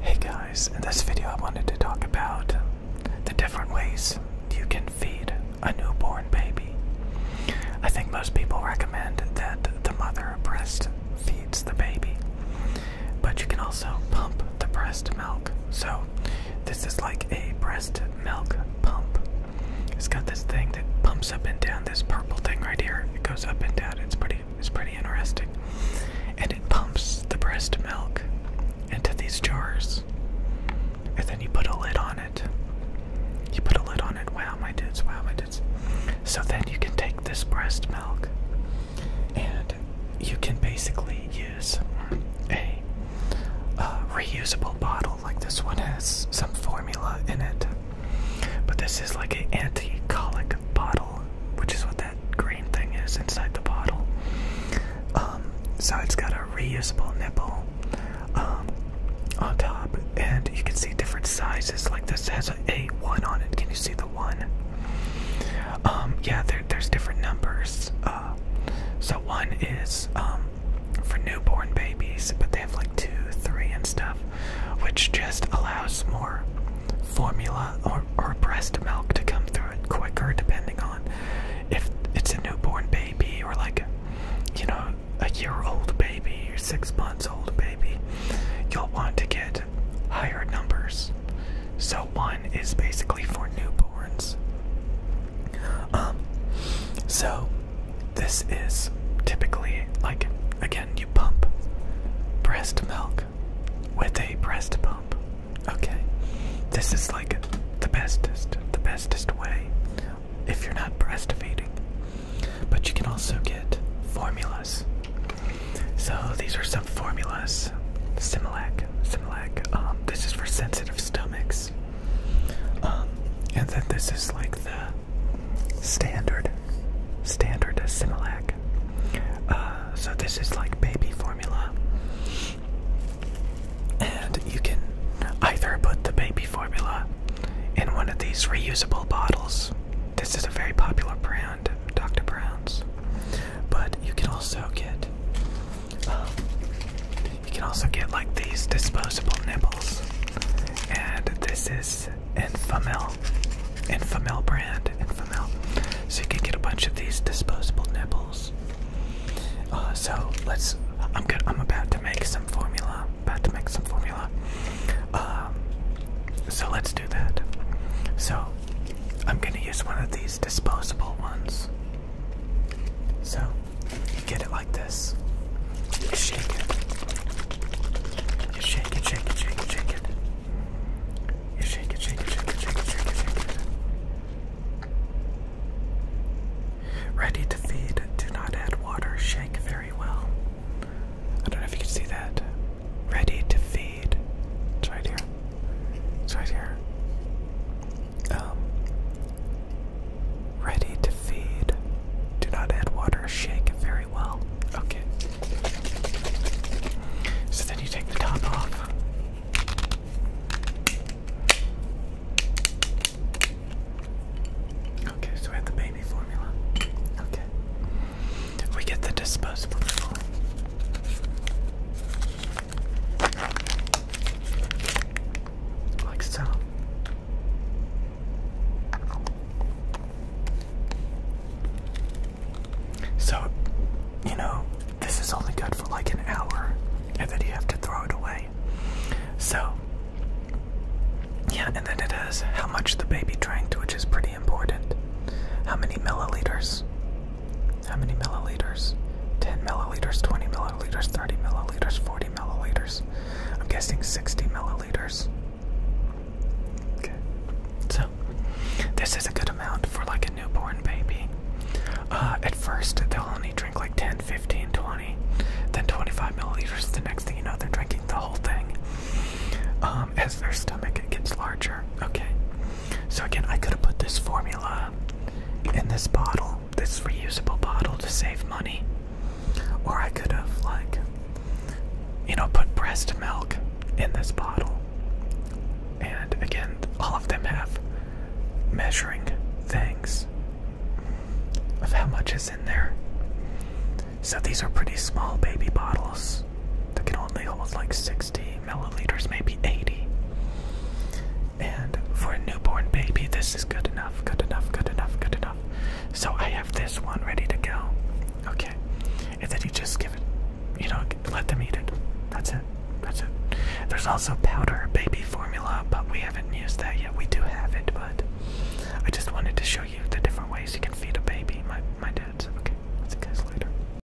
Hey guys, in this video I wanted to talk about the different ways you can feed a newborn baby. I think most people recommend that the mother breast feeds the baby, but you can also pump the breast milk. So this is like a breast milk pump. It's got this thing that pumps up and down, this purple thing right here. It goes up and down. It's pretty it's pretty interesting. And it pumps the breast milk into these jars. And then you put a lid on it. You put a lid on it. Wow, my dudes, wow, my dudes. So then you can take this breast milk and you can basically use a uh, reusable bottle like this one has some formula in it. But this is like an anti-colic bottle, which is what that green thing is inside the bottle. Um, so it's got a reusable nipple um, on top, and you can see different sizes. Like this has a one on it. Can you see the one? Um, yeah, there's different numbers. Uh, so one is um, for newborn babies, but they have like two, three, and stuff which just allows more formula or, or breast milk to come through it quicker, depending on if it's a newborn baby or like, you know, a year old baby or six months old baby. You'll want to get higher numbers. So one is basically for newborns. Um, so this is typically like, again, you pump breast milk with a breast pump. Okay? This is like the bestest, the bestest way if you're not breastfeeding. But you can also get formulas. So these are some formulas. Similac, Similac. Um, this is for sensitive stomachs. Um, and then this is like the standard, standard Similac. Uh, so this is like baby formula. And you can either put the baby formula in one of these reusable bottles. This is a very popular brand, Dr. Brown's. But you can also get um, you can also get like these disposable nipples, and this is Infamil, Infamil brand, Infamil. So you can get a bunch of these disposable nipples. Uh, so let's. I'm good. I'm about to make some formula. About to make some formula. Um, so let's do that. So I'm gonna use one of these disposable ones. So you get it like this. You shake it. You shake it, shake it, shake it, shake it. You shake it, shake it, shake it, shake it, shake it, shake it. Ready to feed, do not add water, shake very well. I don't know if you can see that. Ready to feed. It's right here. It's right here. Um Ready to feed. Do not add water, shake it very well. Okay. So then you take the top off. Okay, so we have the baby formula. Okay. We get the disposable nipple like so. So, you know, this is only good for like an hour, and then you have to throw it away. So, yeah, and then it has how much the baby drank, which is pretty important. How many milliliters? How many milliliters? 10 milliliters, 20 milliliters, 30 milliliters, 40 milliliters. I'm guessing 60 milliliters. Okay. So, this is a good amount for like a newborn baby. Uh, at first, they'll only drink like 10, 15, 20, then 25 milliliters. The next thing you know, they're drinking the whole thing. Um, as their stomach gets larger. Okay. So, again, I could have put this formula in this bottle, this reusable bottle, to save money. Or I could have, like, you know, put breast milk in this bottle. And again, all of them have measuring things of how much is in there. So these are pretty small baby bottles that can only hold like six 60 milliliters, maybe 80. And for a newborn baby, this is good enough, good enough, good enough, good enough. So I have this one ready to go. Okay. And then you just give it, you know, let them eat it. That's it. That's it. There's also powder baby formula, but we haven't used that yet. We do have it, but I just wanted to show you the different ways you can feed a baby. My my dad's okay. I'll see you guys later.